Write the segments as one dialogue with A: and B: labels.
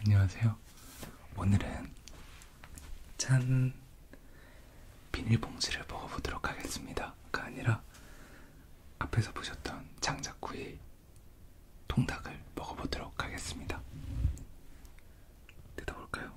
A: 안녕하세요. 오늘은 짠 비닐봉지를 먹어보도록 하겠습니다.가 아니라 앞에서 보셨던 장작구이 통닭을 먹어보도록 하겠습니다. 뜯어볼까요?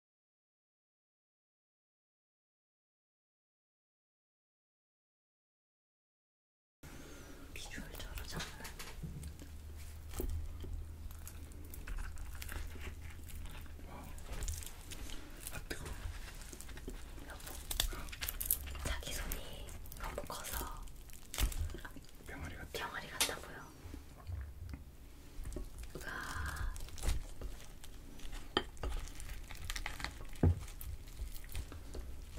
A: 비주얼 저러잖아. 아 뜨거. 여보, 자기 손이 너무 커서 병아리 같다. 병아리 같다고요. 우와.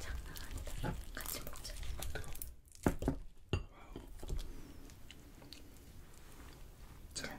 A: 장난 아니다. 같이 먹자. 자.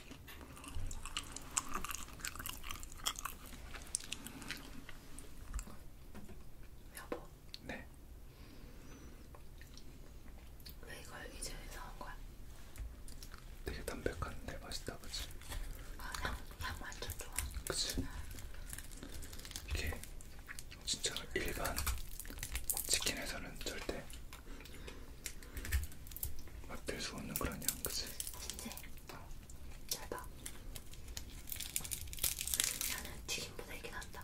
A: 여보. 네. 왜 이걸 이제 사온 거야? 되게 담백한데 맛있다, 그치? 아, 향, 향 완전 좋아. 그치? 이게 진짜 일반 치킨에서는 절대 맛들 수 없는 그런 향, 그치? 진짜 잘 봐. 나는 튀김보다 이게 낫다.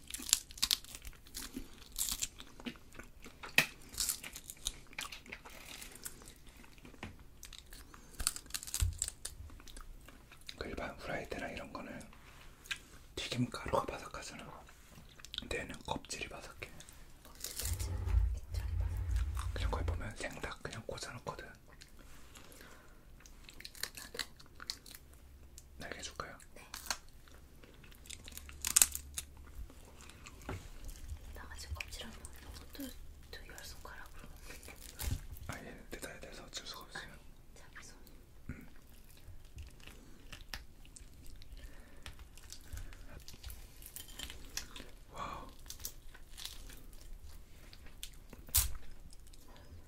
A: 그 일반 후라이드나 이런 거는 튀김 가루가 바삭하잖아. 근데 얘는 껍질이 바삭해. 그냥 거기 보면 생닭 그냥 꽂아놓거든. 나도 날개 줄까요? 네. 나가지고 껍질하면 또두 열손가락으로. 아예 대단히 돼서 어쩔 수가 아, 없어요. 아니, 자기 손. 음. 와우.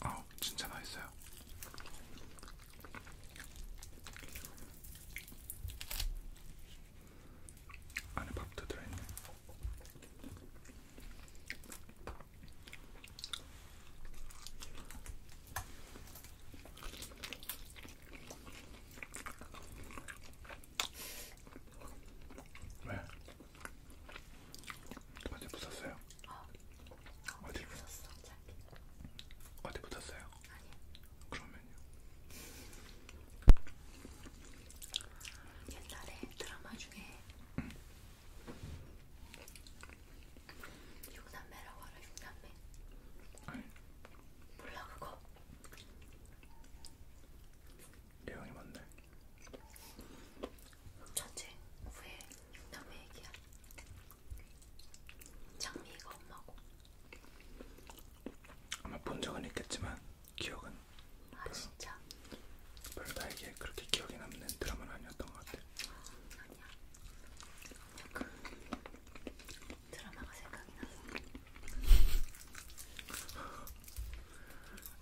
A: 아, 진짜 맛있어요. 안에 밥도 들어있네. 왜? 어디 붙었어요? 어. 어디 붙었어? 자기. 어디 붙었어요? 아니요. 그러면요? 옛날에 드라마 중에 응. 육남매라고 알아? 육남매? 아니. 몰라 그거? 내용이 뭔데? 첫째, 후에 육남의 얘기야. 장미가 엄마고. 아마 본 적은 있겠지만 기억은. 아 별로, 진짜. 별로 나에게 그렇게 기억이 남는 드라마는 아니었던 것 같아. 아, 아니야. 약간 드라마가 생각이 나서.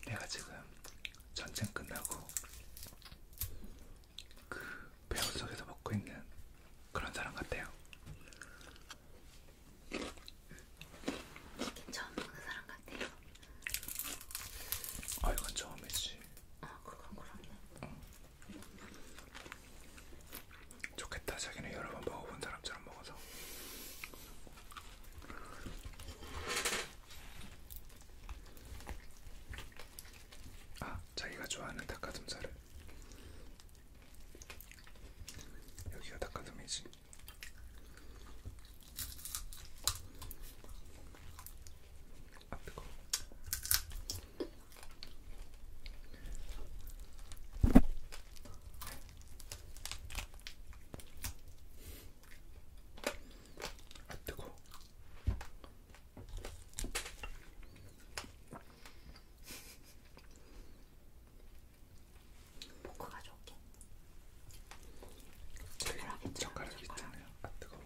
A: 내가 지금 전쟁 끝나고 그 배우 속에서 먹고 있는 그런 사람 같아요. 처음 먹는 그 사람 같아요. 아 이건 처음이지. 아 그건 그렇네. 응. 좋겠다. 자기는 여러 번 먹어본 사람처럼 먹어서 아, 자기가 좋아하는 닭가슴살을 여기가 닭가슴이지. 아 뜨거. 아 뜨거. 포크 가져올게. 네, 젓가락 젓가락 있잖아요. 아 뜨거.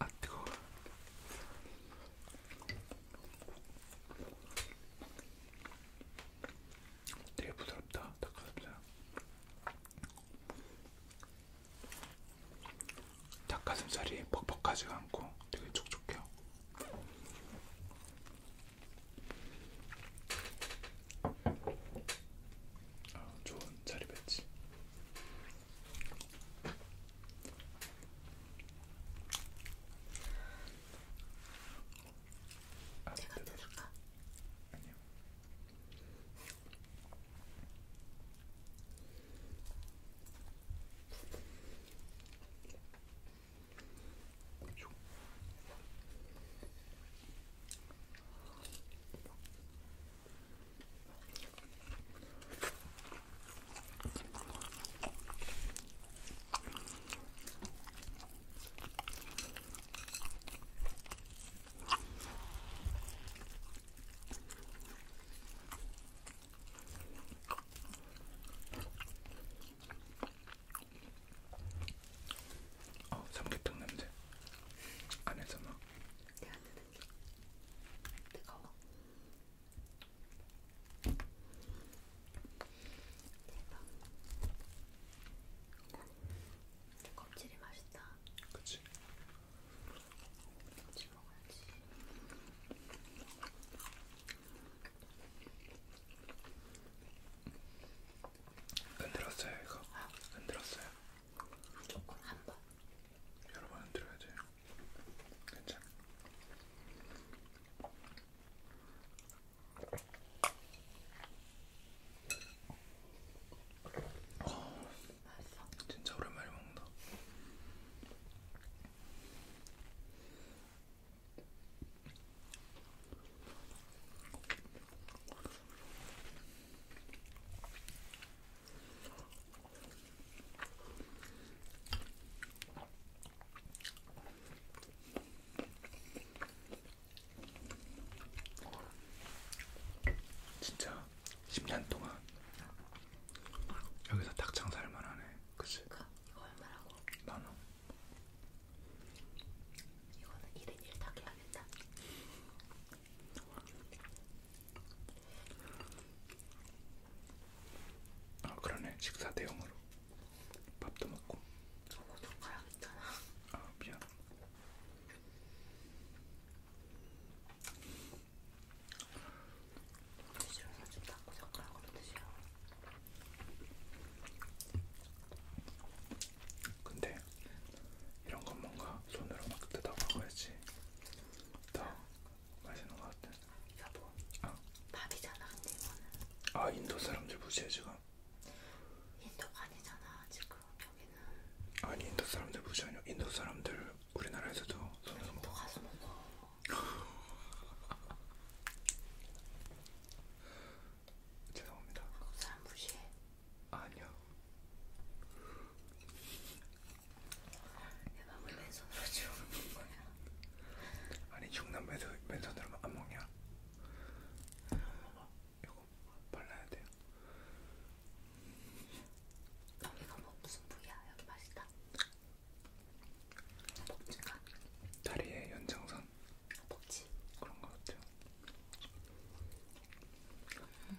A: 아 뜨거. 되게 부드럽다 닭가슴살 닭가슴살이 퍽퍽하지가 않고 되게 촉촉해요 아, 좋은 자리 배치 아, 제가 뜯을까? 아니요. 어, 삼계탕 냄새 안에서 막 내가 드는 게 뜨거워. 대박. 껍질이 맛있다. 그치. 껍질 먹어야지. 흔들었어요 이거? 아. 흔들었어요? 조금 한 번. 여러 번 흔들어야 돼. 괜찮아. 맛있어. 진짜 오랜만에 먹는다. 진짜 10년 동안 여기서 닭장 살만 하네. 그치? 그니까 이거 얼마라고? 만 원. 이거는 1인 1닭 해야겠다. 아 그러네. 식사 대용으로. 밥도 먹고. 저거 좀 가야겠잖아. 아 미안. 드시면서 좀 닦고 젓가락으로 드세요. 근데 이런 건 뭔가 손으로 막 뜯어 먹어야지 더 맛있는 것 같아. 여보, 아, 밥이잖아 근데 이거는. 아 인도 사람들 무시해 지금. 거니까. 인도가 아니잖아 지금 여기는. 아니 인도 사람들 무시 아니야. 인도 사람들 우리나라에서도 손으로 인도 먹어. 가서 먹어. 죄송합니다. 한국 사람 무시해. 아니요. 내 맘을 맨손으로 주우는 거야. 아니 중남에서 맨손으로 안 먹냐? 이거 발라야 돼요. 여기가 뭐 무슨 부위야? 여기 맛있다. 먹지가? 다리의 연장선. 먹지? 그런 거 같아요. 음.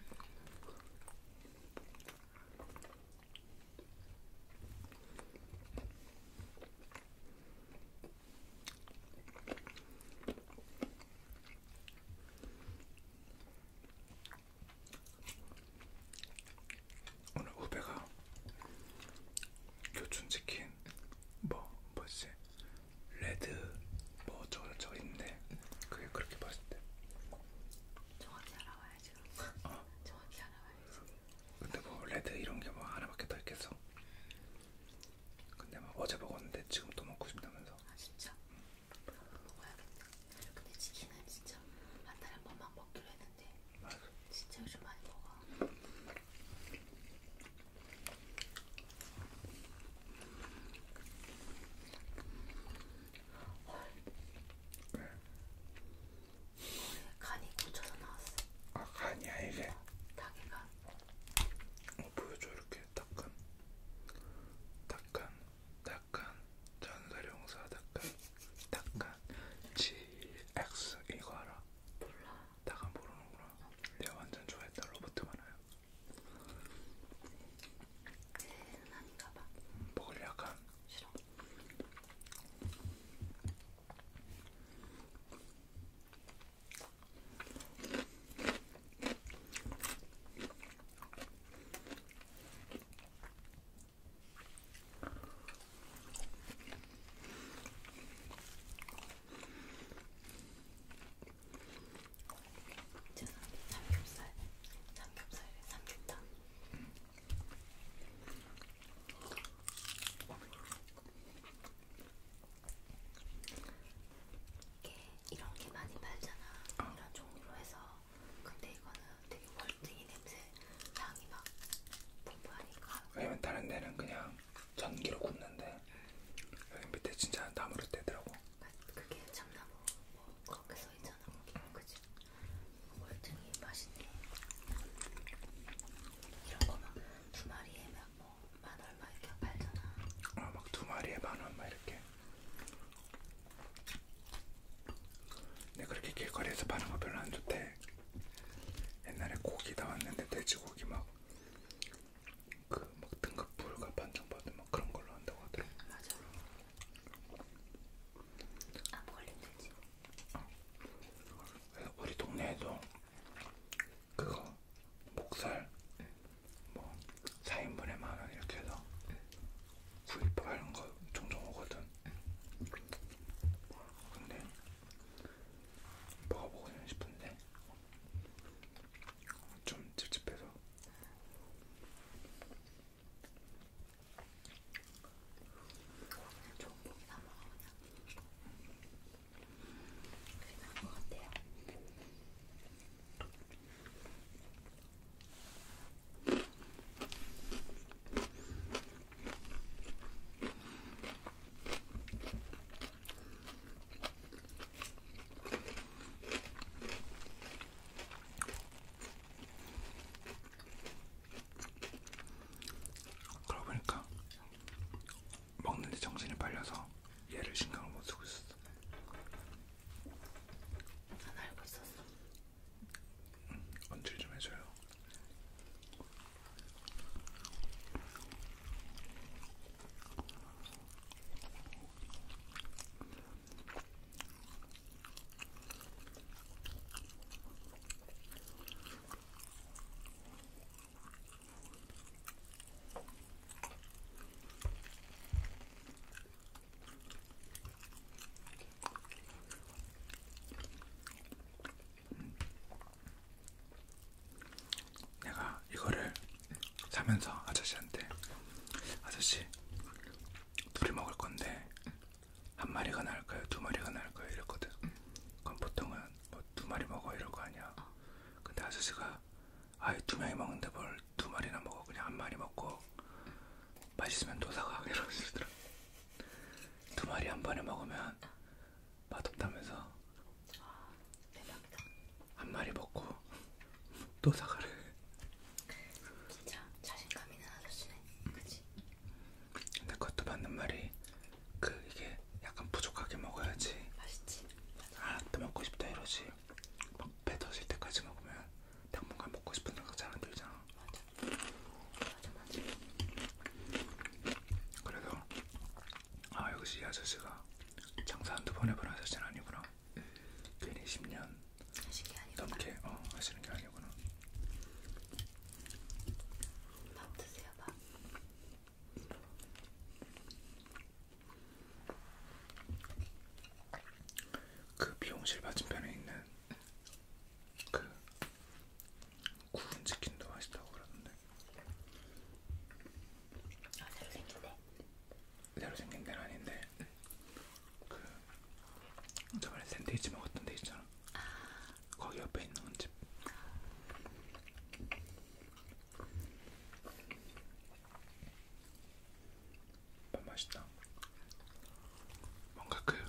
A: 오늘 후배가 교촌치킨 뭐 뭐지 레드 뭐 저거 저거 있는데 그게 그렇게 맛있대 정확히 알아봐야지 어? 정확히 알아봐야지 근데 뭐 레드 이런 게 뭐 하나밖에 더 있겠어 근데 막 어제 먹었는데 지금 또 먹고 싶다면서. 아 진짜? 응. 한번 먹어야겠네. 근데 치킨은 진짜 한 달에 한 번만 먹기로 했는데. 맞아. 진짜 요즘 많이 먹어. 네. 간이 고쳐서 나왔어. 아 간이야 이게? 어, 닭이 간. 어, 보여줘 이렇게 닦은 닦은 닦은 전사령사 닦은 닦은 GX 이거 알아? 몰라 닦은 모르는구나 내가 완전 좋아했던 로버트 만화야 그는 아닌가봐 음, 먹을 약간 싫어 죄송합니다. 삼겹살, 삼겹살에 삼겹탕. 이게 이런 게 많이 팔잖아. 어. 이런 종류로 해서. 근데 이거는 되게 월등히 냄새 향이 막 풍부하니까. 왜냐면 다른 데는 그냥 전기로 굽는데 음. 여기 밑에 진짜 나무로 떼더라고. 그, 그게 참나무 뭐 그렇게 써 있잖아. 음. 그치? 월등히 맛있네. 이런 거 막 두 마리에 막 뭐만 얼마 이렇게 팔잖아. 아막두 마리에 만원막 이렇게. 근데 그렇게 길거리에서 파는 거 별로 안 좋대. 옛날에 고기 나왔는데 돼지고기 막. 그 막 등급 불가 반장받은 막 그런 걸로 한다고 하더라. 맞아. 아, 멀리 되지. 어. 우리 동네에도 그거 목살 네. 뭐 4인분에 만원 이렇게 해서 네. 구입하는 거 종종 오거든 네. 근데 먹어보고는 싶은데 좀 찝찝해서 좋은 고기 다 먹어 그냥 그게 나은 것 같아요. 그러고 보니까 먹는데 정신이 팔려서 얘를 신경을 못 쓰고 있었어. 안 알고 있었어. 응, 언질 좀 해줘요. 내가 이거를 사면서 아저씨한테 아저씨 둘이 먹을 건데 한 마리가 나을까요? 두 마리가 나을까요? 이랬거든. 그럼 보통은 뭐두 마리 먹어 이럴 거 아니야. 어. 근데 아저씨가 아이 두 명이 먹는데 뭘 두 마리나 먹어 그냥 한 마리 먹고 맛있으면 도사가 이러시더라고. 두 마리 한 번에 먹으면 어. 맛없다면서 아, 대박이다. 한 마리 먹고 도사가래. 진짜 자신감 있는 아저씨네. 그치? 근데 그것도 맞는 말이 그 이게 약간 부족하게 먹어야지 맛있지 아또 아, 먹고 싶다 이러지 막배 터질 때까지 먹으면 당분간 먹고 싶은 생각 잘 안 들잖아 맞아 맞아 맞아 그래도 아 역시 이 아저씨가 장사 한두 번 해본 아저씨는 아니구나 응. 괜히 10년 넘게 어, 하시는 게 아니구나 밥 드세요 밥그 미용실 맞은편에 있는 그 구운 치킨도 맛있다고 그러던데. 아 새로 생긴 데? 새로 생긴 데는 아닌데 그 저번에 샌드위치 먹었던 데 있잖아. 아 거기 옆에 있는 집. 밥 맛있다. 뭔가 그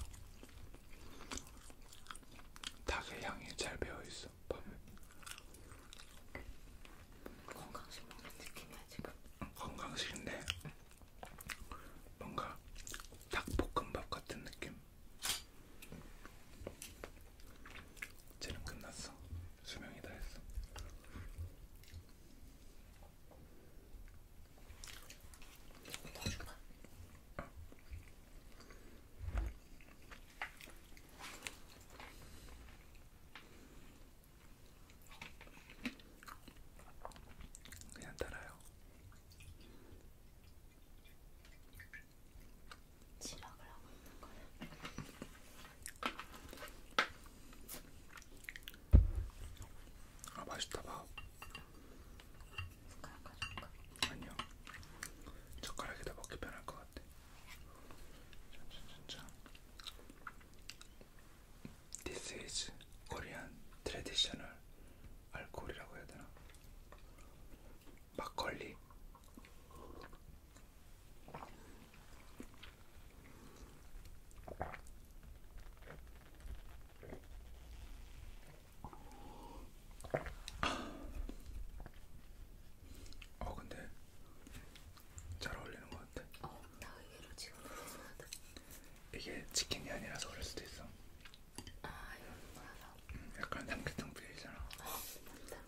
A: 닭의 향이 잘 배어 있어. 밥에. 건강식 먹는 느낌이야 지금. 건강식인데 뭔가 닭볶음밥 같은 느낌. 쟤는 끝났어. 수명이 다 했어. 넣어줄까? 어. 그냥 따라요. 지각을 하고 있는 거야. 아 맛있다 봐. 숟가락 가져올까? 아니요. 젓가락에다 먹기 편할 것 같아. 짠짠짠짠. This is Korean traditional alcohol이라고 해야 되나? 막걸리. 어 근데 잘 어울리는 것 같아. 어, 나 의외로 지금 이게 치킨이 아니라서 그럴 수도 있어. 아 이건 뭐야? 음, 약간 삼계탕 필이잖아. 아 맞다.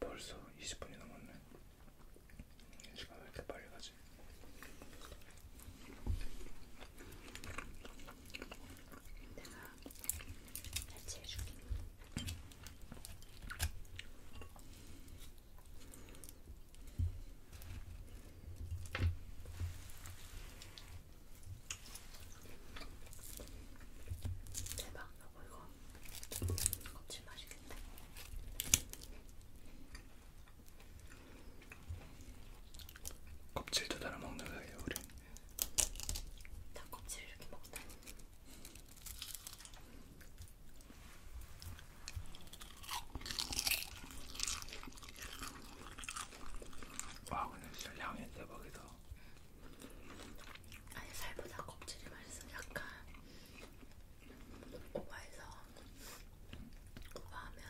A: 벌써 20분이 넘었네. 시간 왜 이렇게 빨리 가지? 내가 해체해줄게. 대박 나고 아, 뭐 이거 껍질 맛있겠다. 껍질도 달아 먹는 거예요, 우리. 다 껍질 이렇게 먹다. 와 근데 진짜 향이 대박이다. 아니 살보다 껍질이 맛있어. 약간 오바해서 오바하면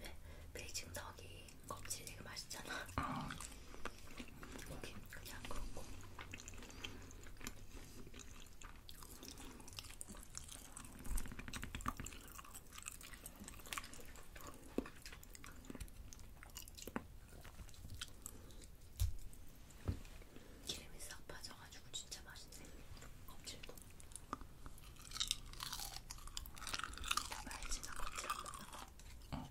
A: 네, 베이징 덕이 껍질이 되게 맛있잖아. 아. 여기 그냥 그렇고 기름이 싹 빠져가지고 진짜 맛있네. 껍질도. 말지 나 껍질 안 먹는 거. 어.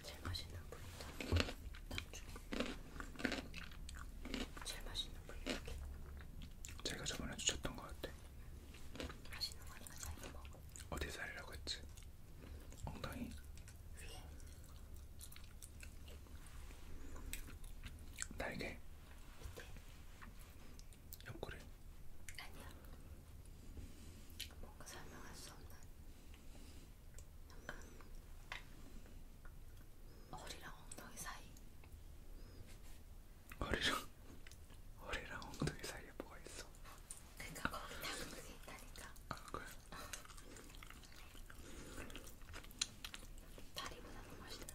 A: 이거 제일 맛있는 부위다. 나중에 제일 맛있는 부위 이렇게. 제가 저번에 주셨던 것 같아. 맛있는 거니까 자기가 먹어. 어디 살려고 했지? 엉덩이. 위에. 날개. 밑에. 옆구리. 아니야. 뭔가 설명할 수 없는 약간 허리랑 엉덩이 사이. 허리랑 허리랑 엉덩이 사이에 뭐가 있어? 그러니까 거기 다 그게 있다니까. 아 그래? 다리보다 더 맛있다.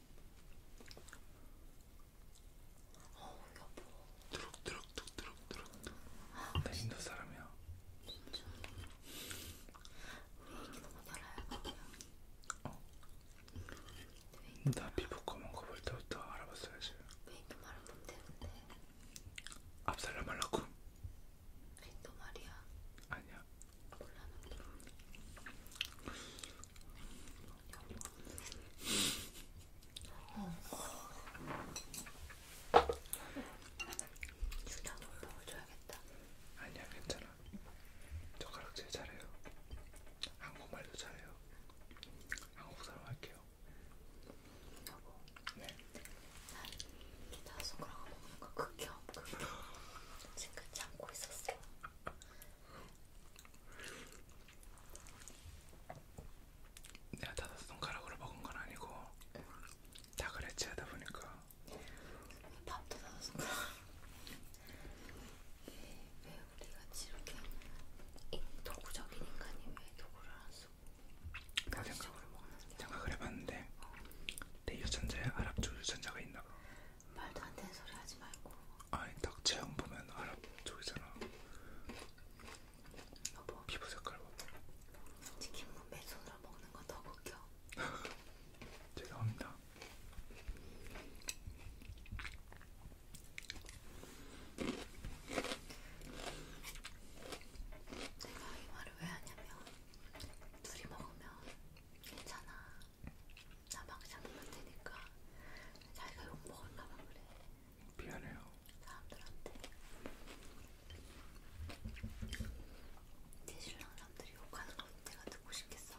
A: 어 여보 드럭드럭드럭드럭드럭 아, 나 인도 사람이야 진짜 왜 이렇게 너무 달아요? 어? 나 피부 검은 거볼 때부터 알아봤어야지 왜 인도 말은 못해 근데? 앞살라 말라고? 인도 말이야 아니야 주량을 보여줘야겠다. 아니야 괜찮아. 젓가락 제일 잘해요. 한국말도 잘해요. 한국 사람 할게요. 여보. 네. 난 기타 손가락 먹는 거 극혐 극혐. 지금 참고 있었어. 내가 다섯 손가락으로 먹은 건 아니고 다 그래 치하다 보니까 밥도 다섯 손가락 왜 우리같이 이렇게 도구적인 인간이 왜 도구를 안 쓰고 나 생각을, 생각을 해봤는데 어. 내 유전자에 아랍 쪽 유전자가 있나 봐 말도 안 되는 소리 하지 말고. 아니 딱 체형 보면 아랍 쪽이잖아. 여보. 피부 색깔 봐봐. 치킨무 맨손으로 먹는 건더 웃겨. 죄송합니다. 내가 이 말을 왜 하냐면 둘이 먹으면 괜찮아 나 망상 보면 되니까 자기가 욕 먹을까봐 그래. 미안해요. 사람들한테 내 신랑 사람들이 욕하는 거 내가 듣고 싶겠어.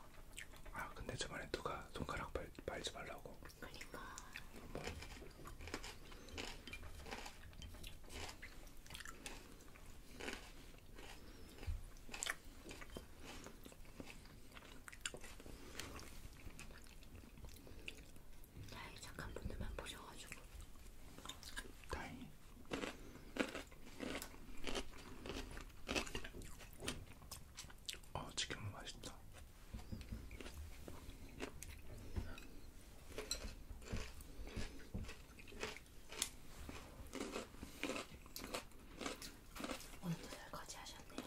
A: 아 근데 저번에 누가 손가락 발, 말지 말라고. 그러니까. 뭐. 다행히 착한 분들만 보셔가지고 다행히 어 아, 치킨 맛있다 오늘도 설거지 하셨네요.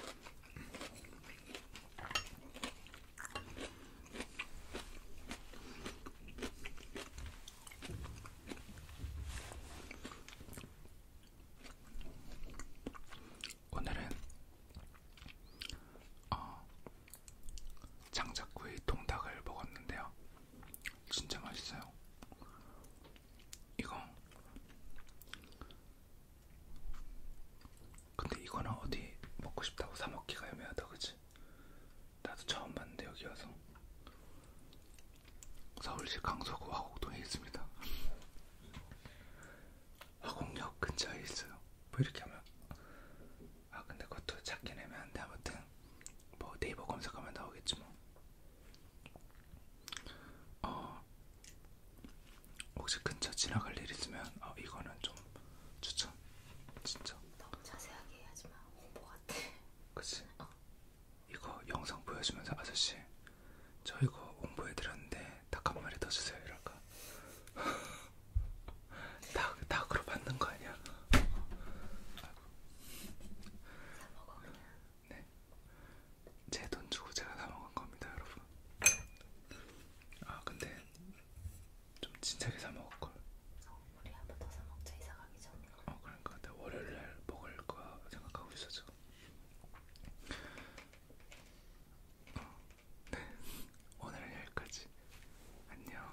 A: 오늘은 어, 장작구이 통닭을 먹었는데요. 진짜 맛있어요. 이거. 근데 이거는 어디 먹고 싶다고 사 먹기가 애매하다, 그치? 나도 처음 봤는데 여기 와서 서울시 강서구 화곡동에 있습니다. 화곡역 근처에 있어요. 뭐 이렇게 하면 아 근데 그것도 찾긴 애매한데 아무튼 뭐 네이버 검색하면 나오겠지 뭐. 어, 혹시 근처 지나갈 일 있으면 어, 이거는 좀 추천. 진짜. 너무 자세하게 하지 마. 홍보 같아. 그치. 어. 이거 영상 보여주면서 아저씨, 저 이거 홍보해드렸는데 닭 한 마리 더 주세요. 이럴까? 닭, 닭으로 받는 거 아니야? 아이고. 다 먹어 그냥. 네. 제 돈 주고 제가 다 먹은 겁니다, 여러분. 아, 근데 좀 진작에 사 먹을 걸. 우리 한번 더 사 먹자 이사 가기 전에. 어, 그러니까 나 월요일 날 먹을 거 생각하고 있었죠. 어, 네. 오늘은 여기까지. 안녕.